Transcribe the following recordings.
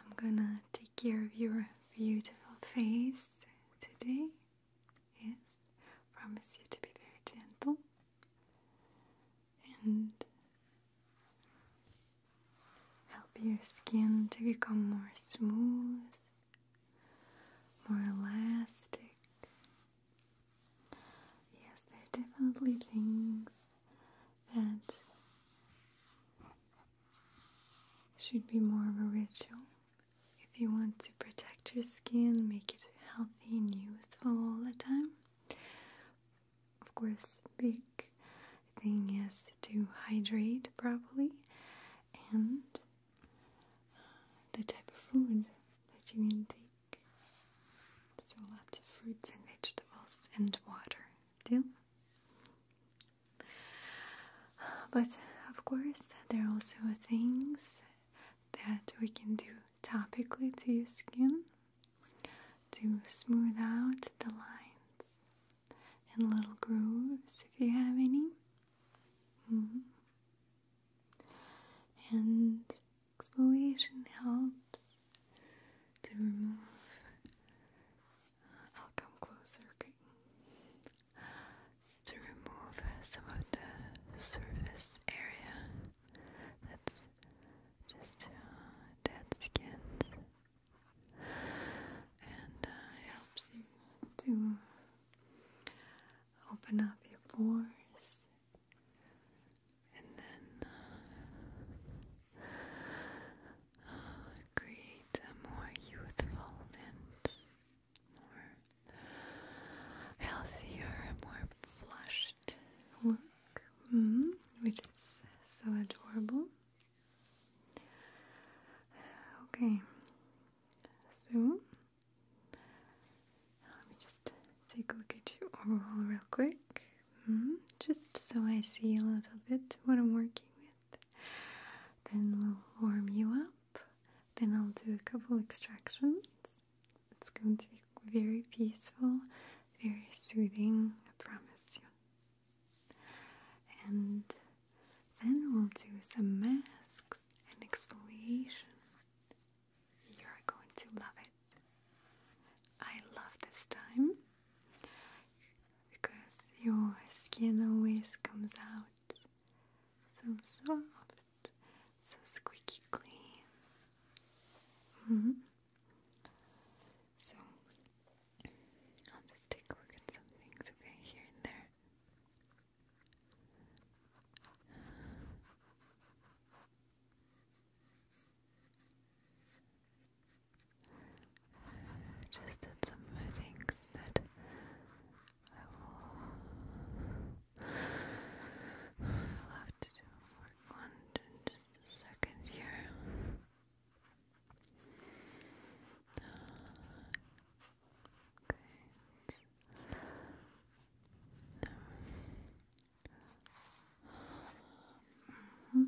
I'm gonna take care of your beautiful face today. Yes, promise you to be very gentle and help your skin to become more smooth, more elastic. Yes, there are definitely things that should be more of a ritual. If you want to protect your skin, make it healthy and youthful all the time. Of course, big thing is to hydrate properly and uh, the type of food that you intake. So lots of fruits and vegetables and water do. But of course, there are also things that we can do topically to your skin to smooth out the lines and little grooves if you have any. Mm-hmm. And exfoliation helps to remove I'll come closer to remove some of the surface area that's just uh, dead skins, and uh, helps you to open up your pores and then uh, create a more youthful and more healthier, more flushed look, hmm, which is so adorable. Okay, so let me just take a look at you overall real quick, hmm, just so I see a little bit what I'm working with. Then we'll warm you up. Then I'll do a couple extractions. It's going to be very peaceful, very soothing, I promise you. And then we'll do some masks and exfoliation. You're going to love it. I love this time because your skin always comes out so soft, so squeaky clean. Mm-hmm. So I'll just take a look at some things, okay, here and there just did some things that I will love to do work in just a second here. okay.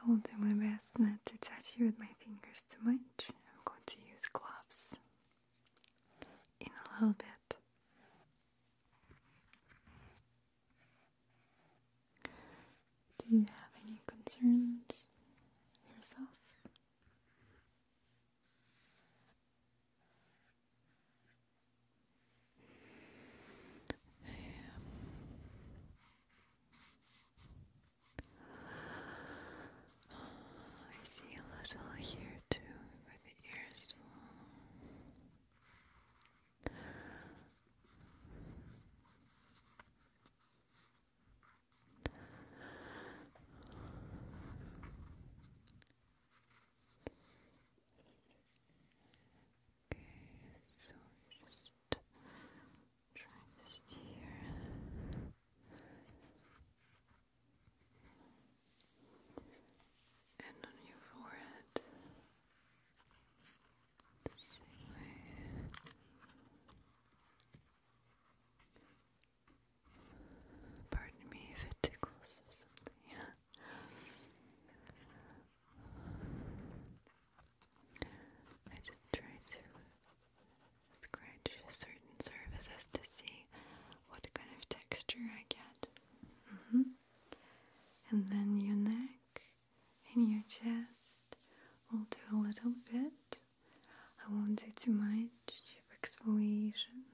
I will do my best not to touch you with my fingers too much. I'm going to use gloves in a little bit. Do you have any concerns yourself? Yeah. Oh, I see a little here too, where the ears Okay, so just trying to steer. And on your forehead, the same way. Pardon me if it tickles or something. I just try to scratch certain surfaces to see what kind of texture I get. Mm-hmm. And then your neck and your chest will do a little bit. I won't do too much exfoliation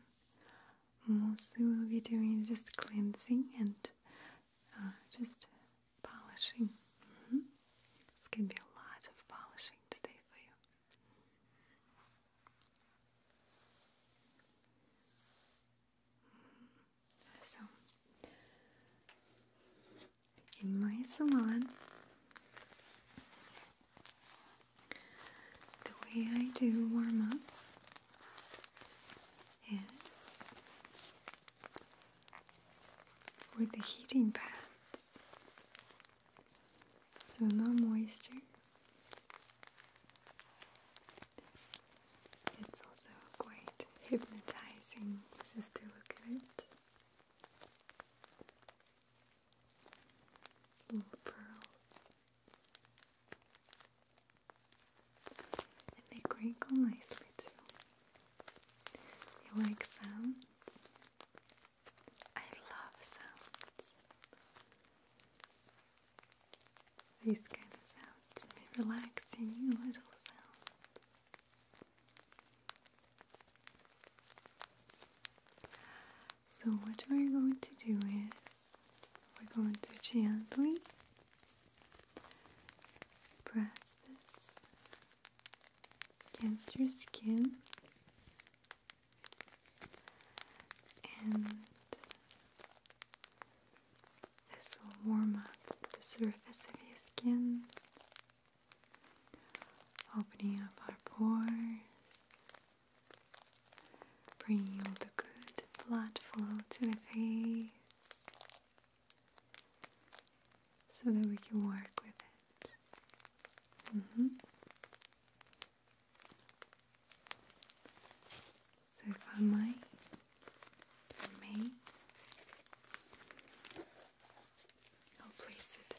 mostly we'll be doing just cleansing and uh, just polishing. Mm-hmm. It's going to be a lot of polishing today for you. Mm-hmm. So, in my salon, the way I do warm up with the heating pads. So no moisture. It's also quite hypnotizing just to look at it. Little pearls they crinkle nicely too. You like sounds? I love sounds. These kind of sounds may little sounds. So what we're going to do is we're going to gently Press this against your skin and this will warm up the surface of your skin, opening up our pores Bring all the good blood flow to the face so that we can work with it. Mm-hmm. So if I might, for me, I'll place it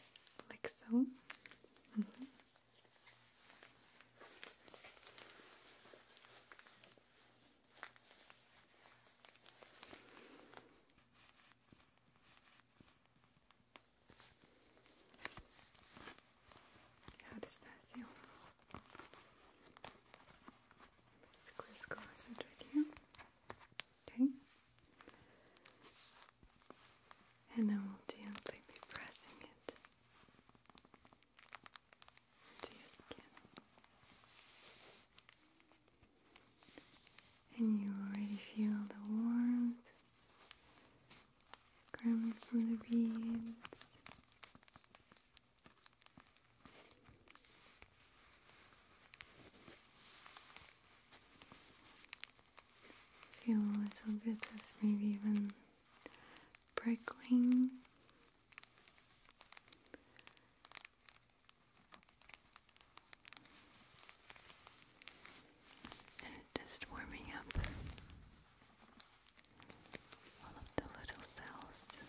like so. Mm-hmm. How does that feel? Just crisscross it right here. Okay. And I will gently be pressing it and you already feel the warmth coming from the beads. Feel a little bit of maybe even prickling and just warming up all of the little cells on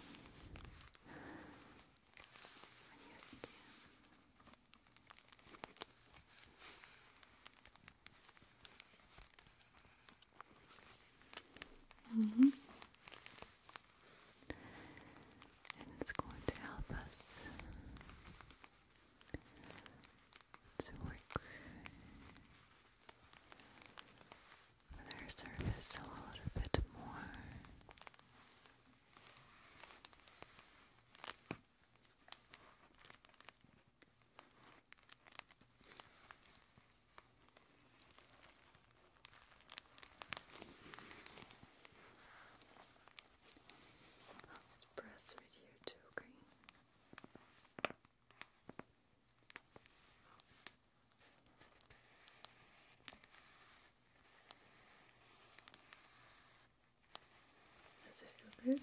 Mm -hmm. And it's going to help us to work with surface a little bit more just press right here too, okay? Does it feel good?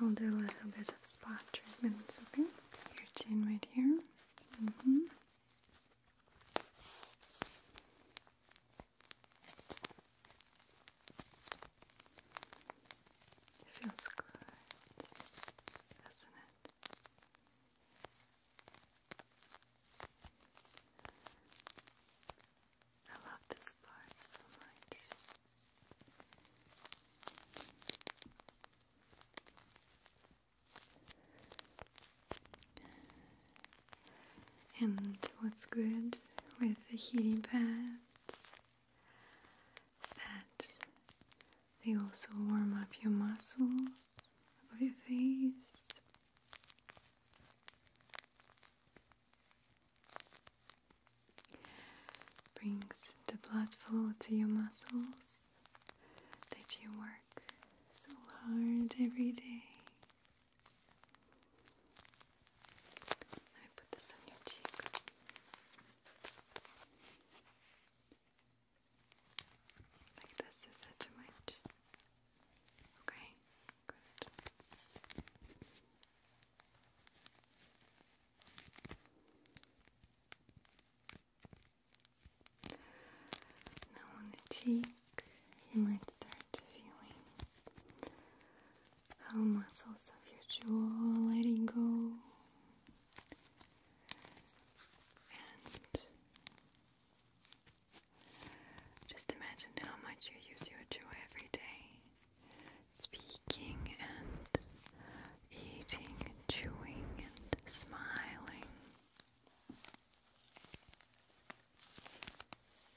I'll do a little bit of spa treatments, okay? Your chin right here. It mm-hmm. feels good, doesn't it? I love this part so much. And what's good with the heating pads is that they also warm up your muscles of your face. Brings the blood flow to your muscles that you work so hard every day. Let me put this on your cheek. Like this is it much. Okay, good. Now on the cheek, you might start feeling how muscles of your jaw letting go. And just imagine how much you use your jaw every day speaking and eating and chewing and smiling.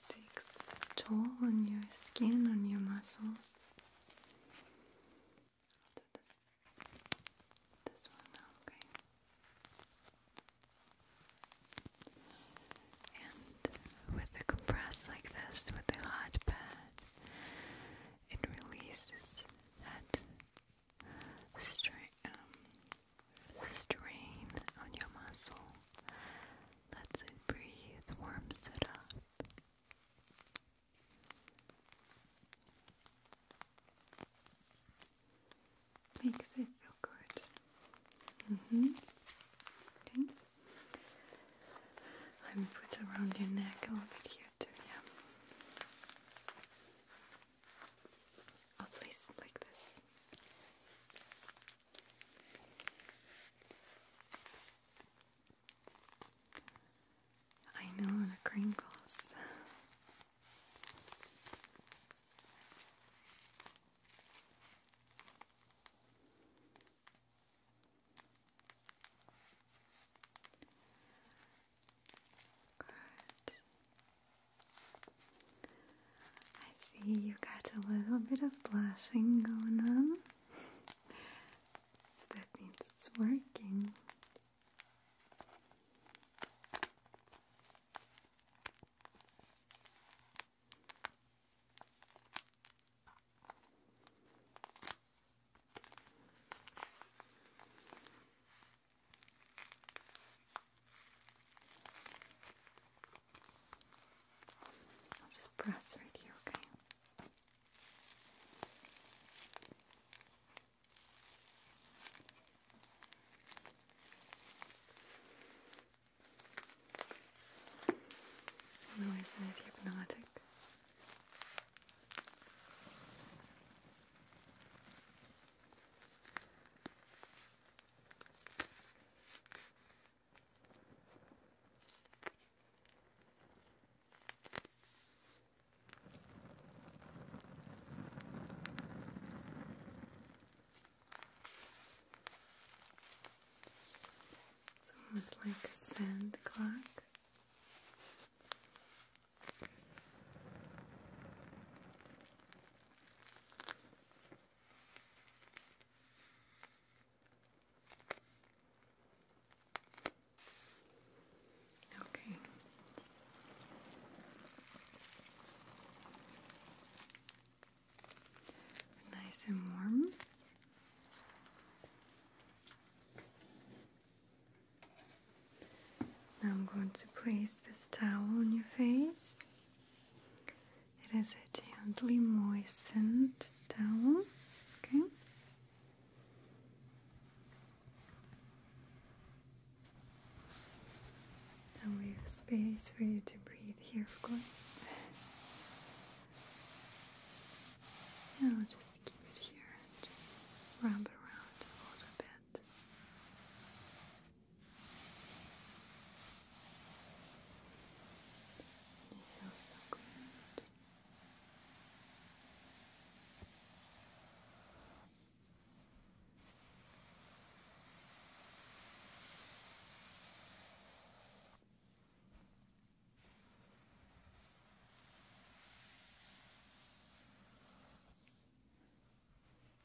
takes toll on your skin, on your muscles. And with a compress like this, with a hot pad, it releases that um, strain, on your muscle, lets it breathe, warms it up. Makes it feel good. Mm-hmm. Okay. Let me put around your neck a little bit here too, yeah. Oh, please, like this. I know the crinkles. Good. I see you got a little bit of blushing going on. so that means it's working. I'll just press right here, okay? Who is it hypnotic? It's almost like a sand clock. Okay. Nice and warm. Now I'm going to place this towel on your face. It is a gently moistened towel. Okay. I'll leave space for you to breathe here, of course. Yeah, just keep it here and just wrap it around a little bit. it feels so good.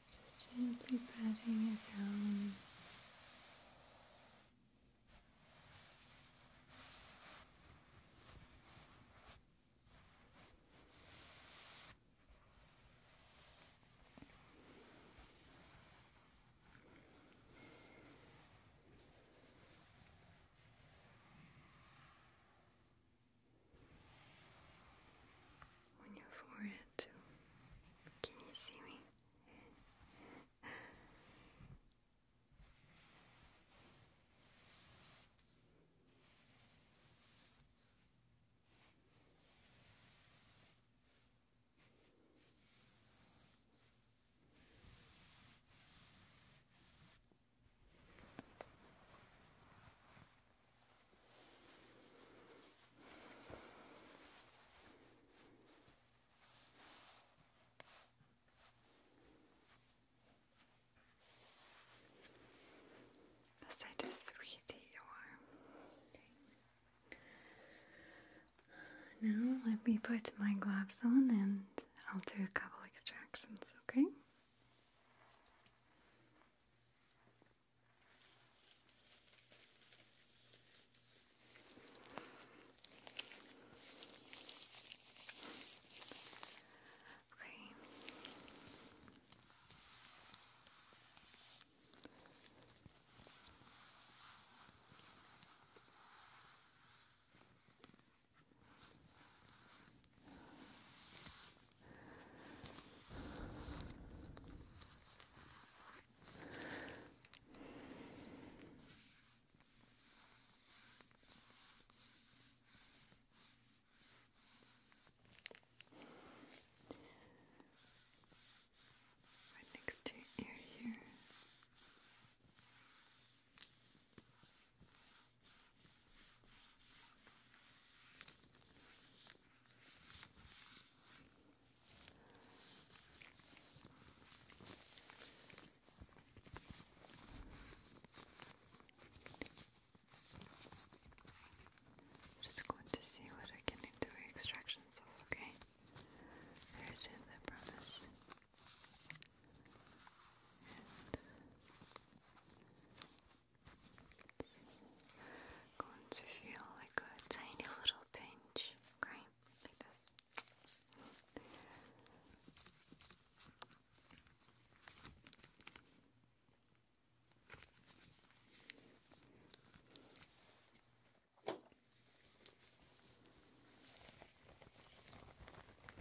Just gently patting it down. On your forehead, Can you see me? Such a sweetie you are. Now let me put my gloves on and I'll do a couple extractions, okay? Okay. Okay. Right next to your ear here. Just going to see what I can do extractions okay? There it is, promise. It's going to feel like a tiny little pinch, okay? Like this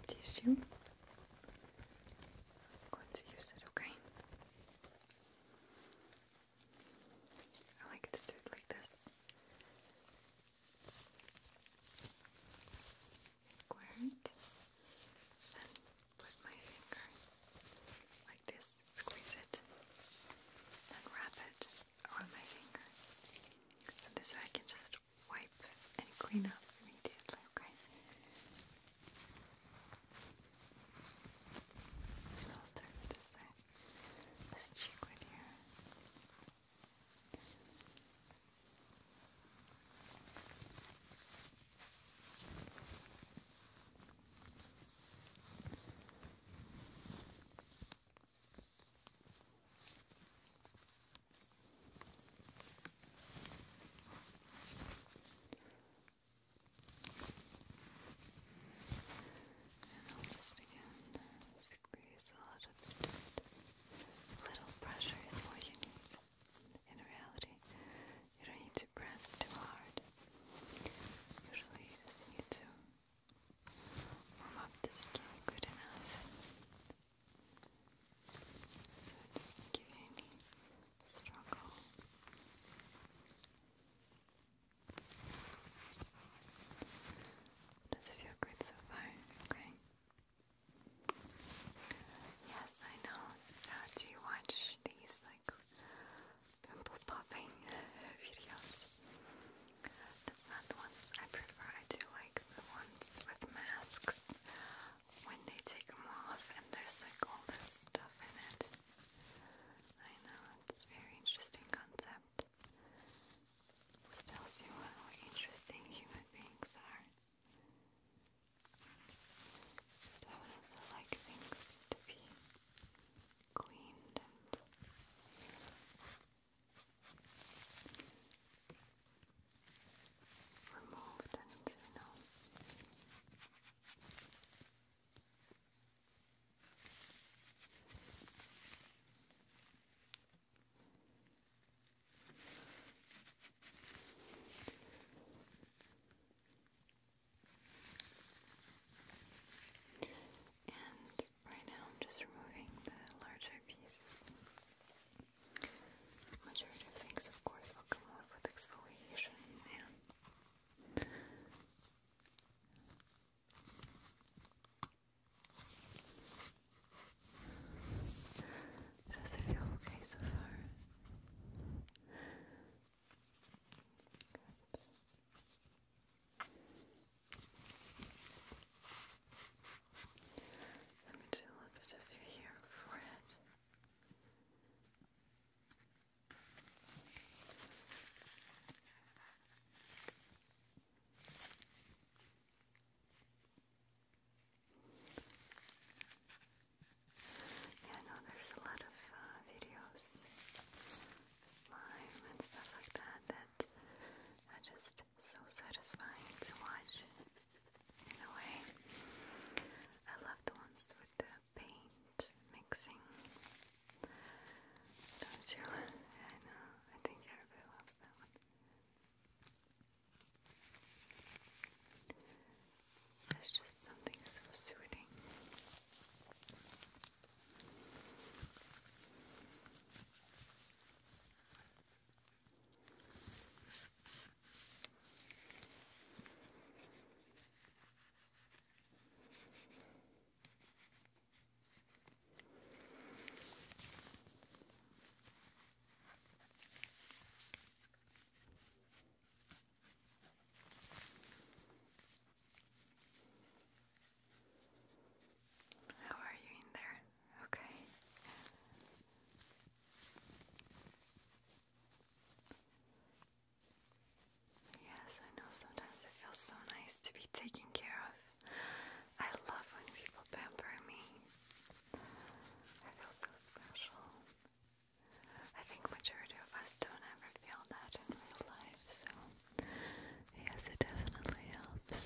tissue. I'm going to use it, okay? I like to do it like this. Squirt and put my finger like this, squeeze it, and wrap it around my finger. So this way I can just wipe and clean up immediately, okay? So i start with this cheek right here. And I'll just again squeeze a lot of Just little pressure is all you need. In reality, you don't need to press too hard. Usually, you just need to warm up the skin good enough so it give you any struggle. Does it feel good so far? Okay. Yes, I know. do you watch these like pimple popping videos? That's not the I prefer. I do like the ones with masks when they take them off and there's like all this stuff in it. I know, it's a very interesting concept. It tells you how interesting human beings are. So I would like things to be cleaned and removed and you know and right now I'm just removing the larger pieces. Majority of things, of course, will come off with exfoliation. Yeah. Does it feel okay so far? Good. Let me do a bit of your forehead. Yeah, I know there's a lot of uh, videos, slime and stuff like that that are just so satisfying to watch away. I love the ones with the paint mixing. Don't you? I know. I think everybody loves that one. There's just something so soothing. How are you in there? Okay. Yes, I know sometimes it feels so nice to be taken care of. I love when people pamper me. I feel so special. I think majority of us don't ever feel that in real life, so yes, it definitely helps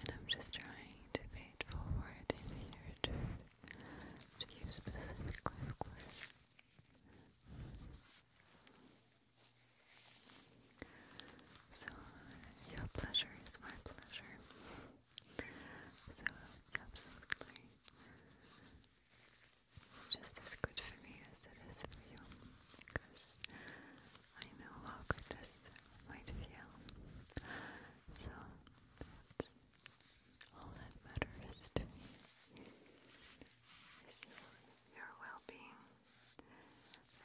and I'm just trying to pay forward in the to you specifically, of course. So, your pleasure is my pleasure. So, absolutely, just as good for me as it is for you, because I know how good this might feel. So all that matters to me is your well-being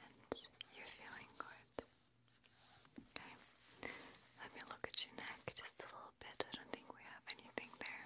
and you feeling good. Okay, let me look at your neck just a little bit. I don't think we have anything there.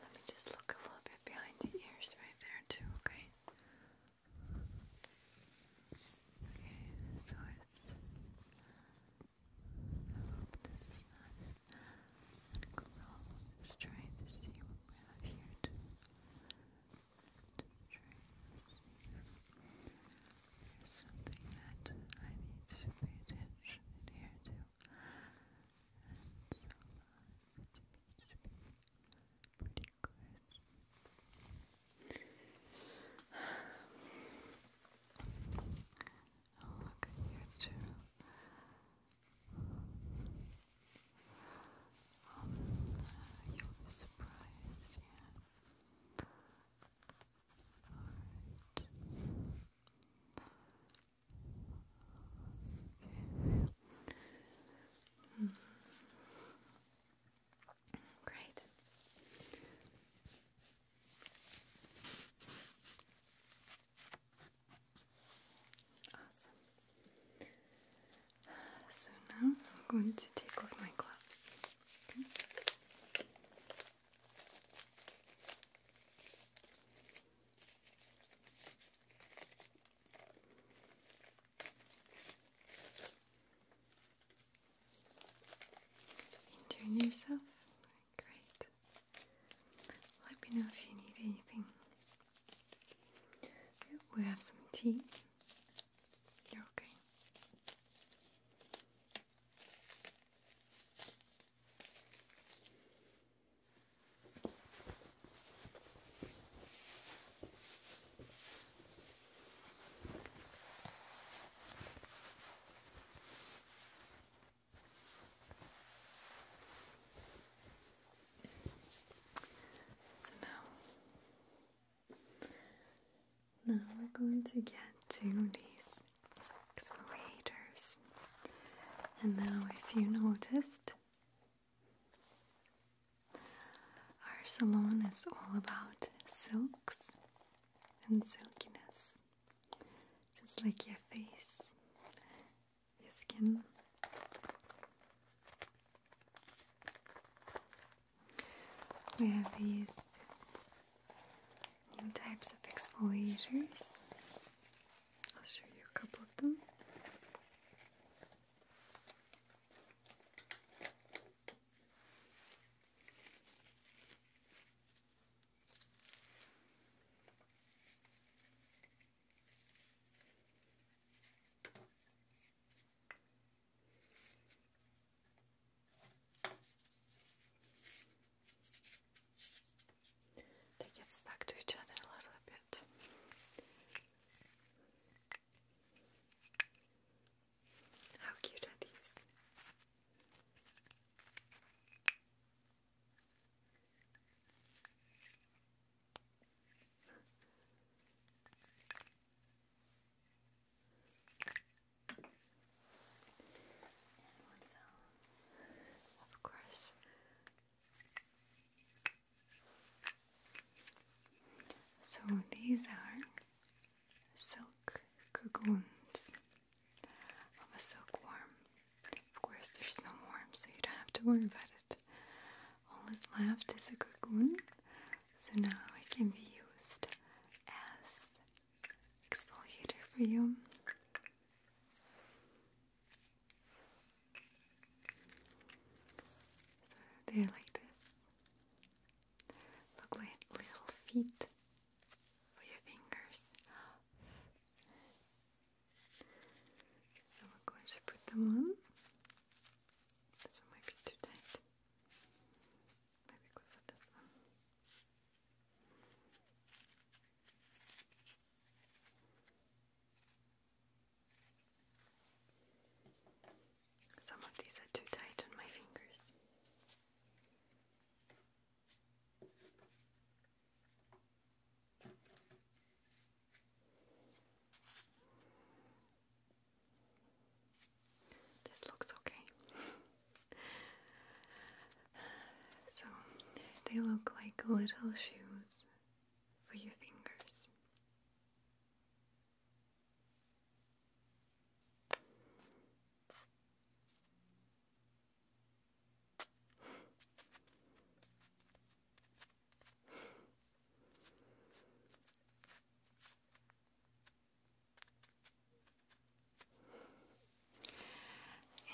Let me just look a little bit behind the ears right there, too, okay? Okay, so it's. Just trying to see what we have here too. Just to see if there's something that I need to pay attention here to. And so uh, pretty good. Oh, look here too. Um, you'll be surprised, yeah. Alright. Okay. Mm. Great. Uh, so now I'm going to take off my gloves. Okay. yourself? Great. Let me know if you need anything. We have some tea. You're okay. So now, now we're going to get to these exfoliators. And now, if you noticed, our salon is all about silks and silkiness, just like your face your skin. We have these new types of exfoliators. I'll show you a couple of them. They get stuck to each other a little bit. How cute are these? of course. So these are silk cocoons of a silkworm. Of course, they're so so you don't have to worry about it all is left is a cocoon. So now it can be used as exfoliator for you. So like this. Look like little feet for your fingers. So we're going to put them on. This one might be too tight. Maybe go for this one. Some of these are too tight on my fingers. This looks okay. so they look like little shoes for your fingers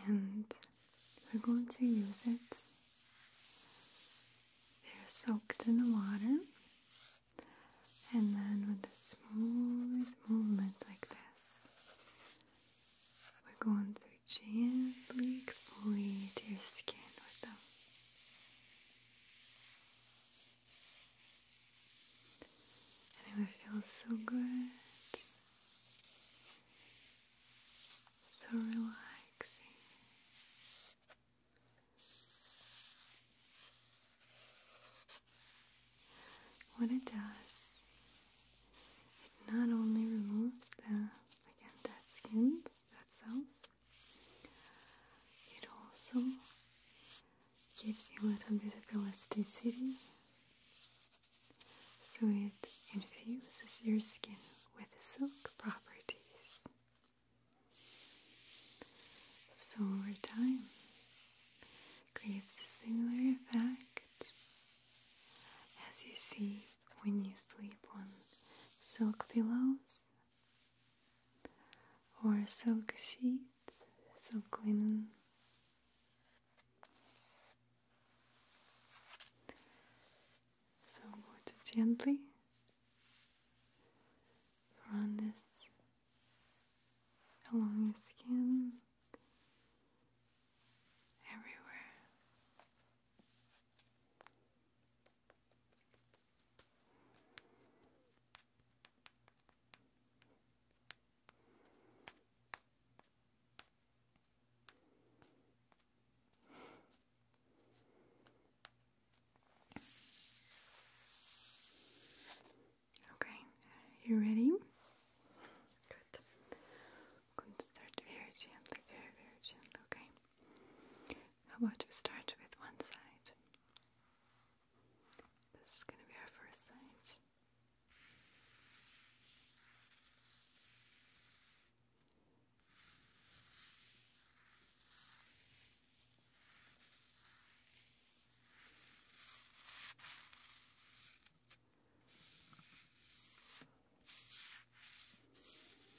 and we're going to use it. They're soaked in the water, and then with a smooth movement like this, we're going to gently exfoliate your skin with them it feels so good, so relaxing. What it does, it not only removes the again dead skins, dead cells, it also gives you a little bit of elasticity, so it infuses your skin with silk properties. So over time, creates a similar effect as you see when you sleep on silk pillows or silk sheets, so clean, So water gently run this along your skin everywhere. Okay, you ready? Good. I'm start very gently, very gently, okay? How about we start with one side? This is going to be our first side.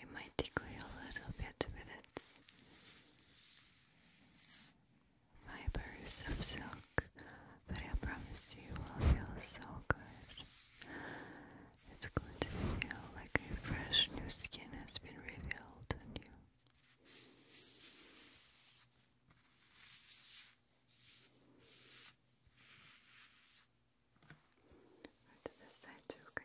It might tickle a little bit with its fibers of silk, but I promise you will feel so good. It's going to feel like a fresh new skin has been revealed on you. to this side too, okay?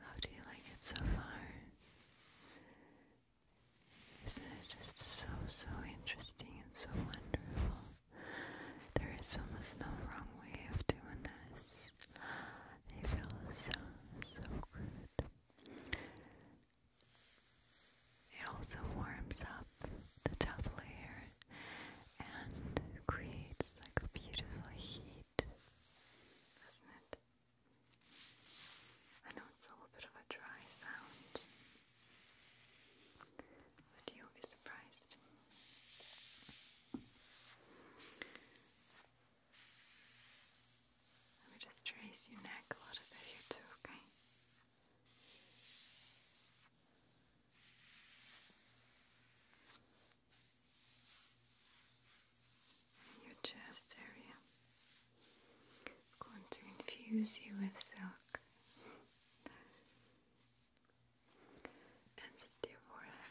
How do you like it so far? Isn't it just so, so interesting and so wonderful? There is almost no wrong way of doing this it feels so, so good. It also warms up the top layer and creates like a beautiful heat, doesn't it? I know it's a bit of a dry sound, but you'll be surprised. Let me just trace your neck a little bit here too, okay? your chest area. going to infuse you with silk. And just your forehead.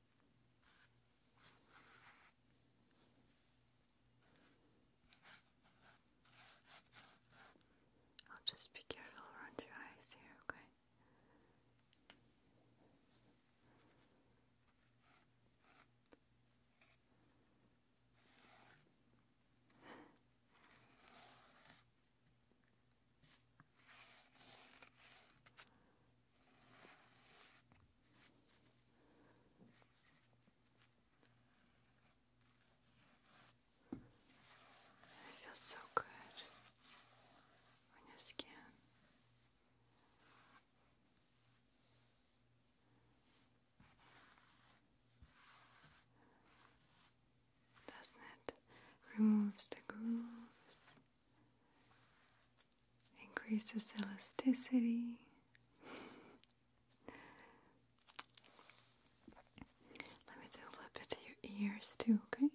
I'll just be careful around your eyes here, okay? It feels so good on your skin. Doesn't it? Removes the grooves increases elasticity. Let me do a little bit to your ears too, okay?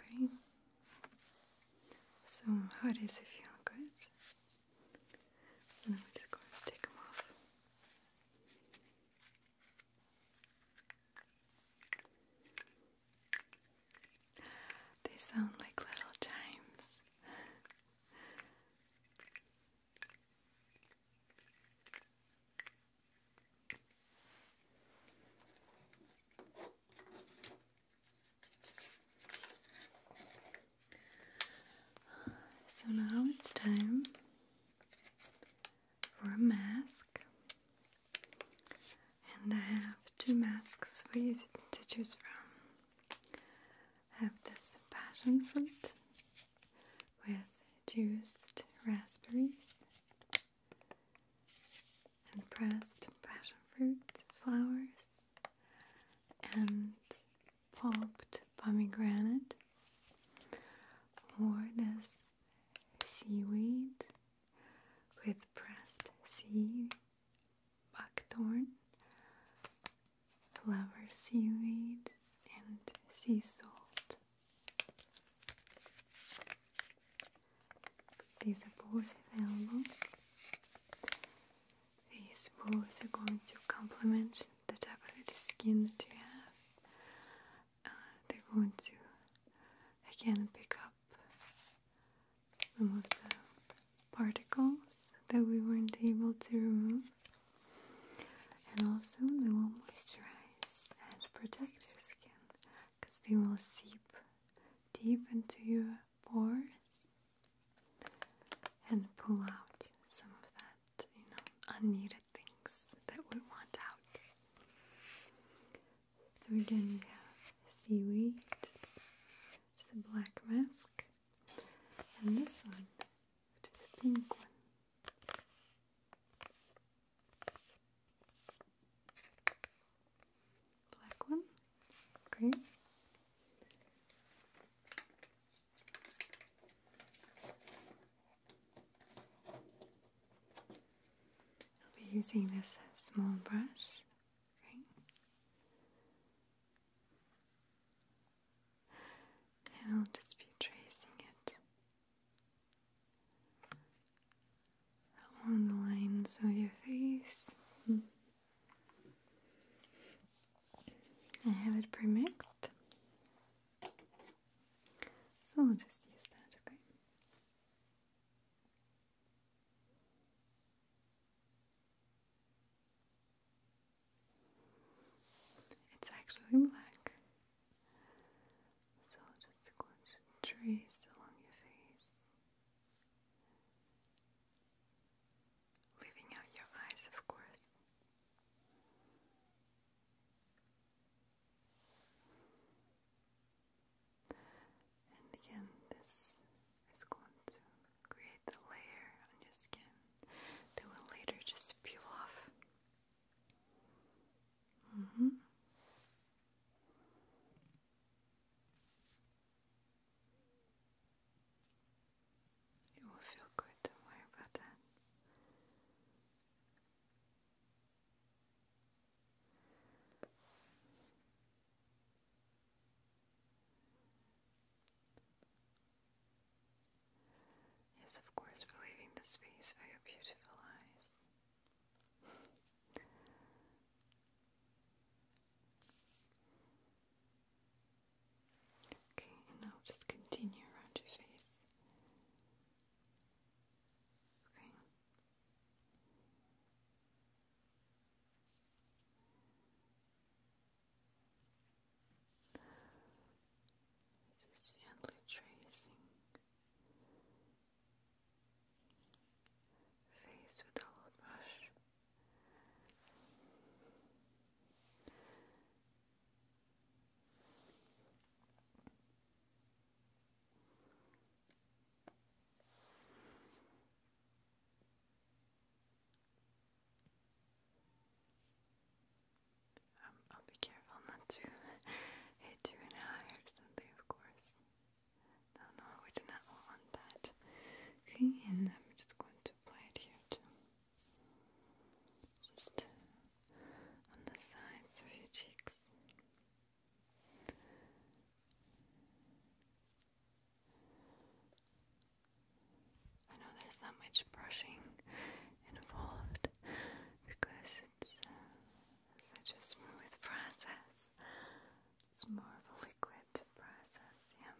Okay. So how does it feel? Good. So then we just going to take them off. They sound like little chimes. So now it's time for a mask. And I have two masks for you to choose from. have this passion fruit with juiced raspberries and pressed passion fruit flowers and pulped pomegranate or this seaweed with pressed sea buckthorn, flower seaweed, and sea salt. These are both available. These both are going to complement the type of the skin that you have uh, they're going to again pick up some of the particles that we weren't able to remove and also they will moisturize and protect your skin because they will seep deep into your pores and pull out some of that you know unneeded things that we want out so again, we have seaweed, which a black mask, and this one, which is a pink one. Black one, okay. I'll be using this small brush. And I'll just be tracing it along the lines of your face. I have it pre-mixed, so i will just use that, okay? It's actually black. So just going to trace along your face, leaving out your eyes, of course. And again, this is going to create the layer on your skin that will later just peel off. It mm-hmm. will feel good, don't worry about that. Yes, of course, we're leaving the space for your beautiful eyes. okay, and now just continue around your face. Okay. Just gently tracing face with a brush. Um, I'll be careful not to hit you in an eye or something, of course. No, no, we do not want that. Okay, and I'm just going to apply it here too. Just on the sides of your cheeks. I know there's not much brushing involved because it's uh, such a smooth process. It's more of a liquid process, yeah.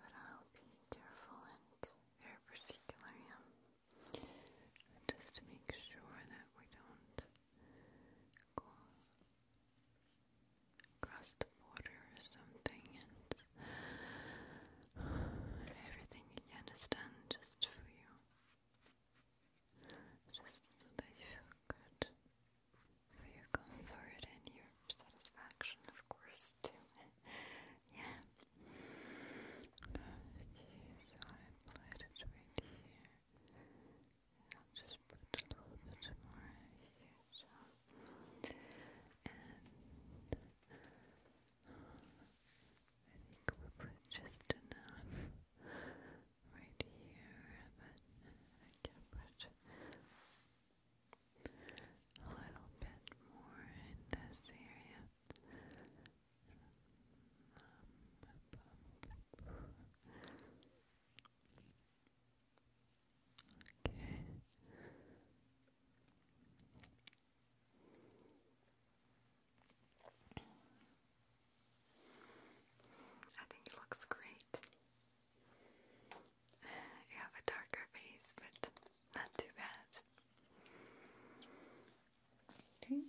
But I'll be careful and very particular, Just make sure that we don't go the border or something and everything again is done just for you just so that you feel good for your and your satisfaction, of course, too. yeah. Okay, so I applied it right here. I'll just put a little bit more here, so. And. I think we put just enough right here, but I can put a little bit more in this area. okay. I think it looks great. You have a darker face, but not too bad. Okay.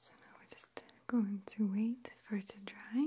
So now we're just going to wait for it to dry.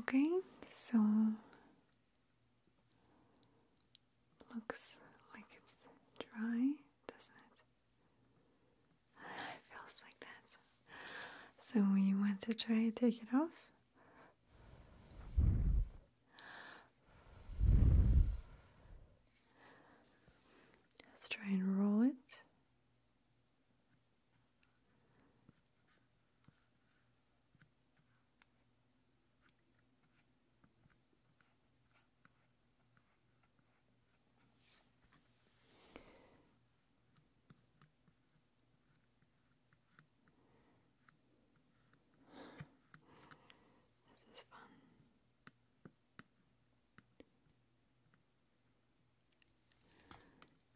Okay, so looks like it's dry, doesn't it? feels like that. So you want to try to take it off? Let's try and roll it. This is fun.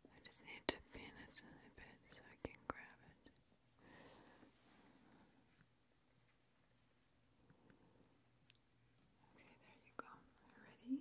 I just need to pin it a little bit so I can grab it. Okay, there you go. Ready?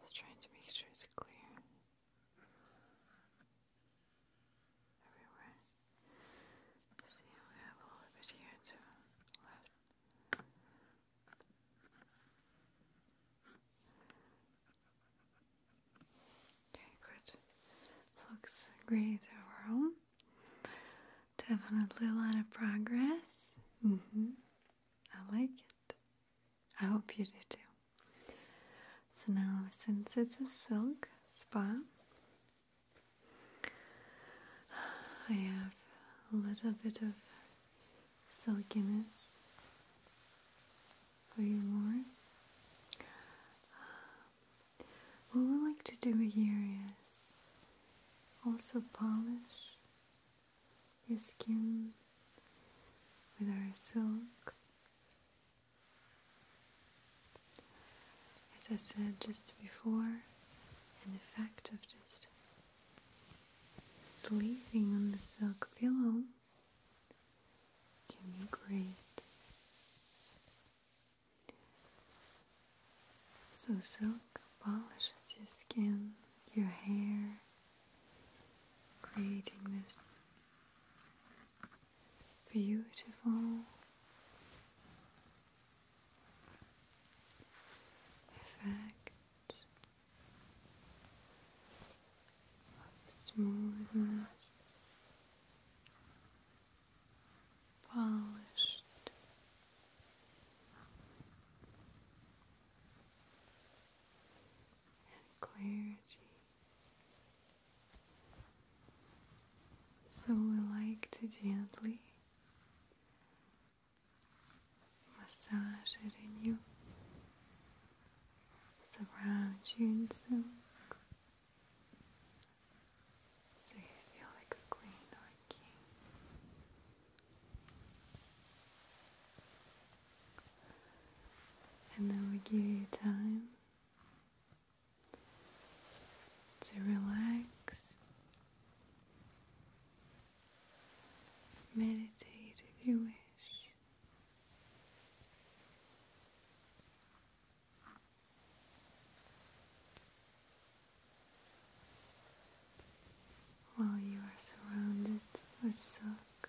Just trying to make sure it's clear everywhere. See, we have a little bit here to left. Okay, good. Looks great overall. Definitely a lot of progress. hmm I like it. I hope you do too. So now, since it's a silk spa, I have a little bit of silkiness Are you more. Um, what we like to do here is also polish your skin with our silks. As I said just before, the fact of just sleeping on the silk pillow can be great. So, silk polishes your skin, your hair, creating this beautiful effect smoothness, polished. And clarity. So we like to gently massage it in you, surround you in silks, so you feel like a queen or a king. And then we give you time to relax, meditate if you wish. While you are surrounded with silk,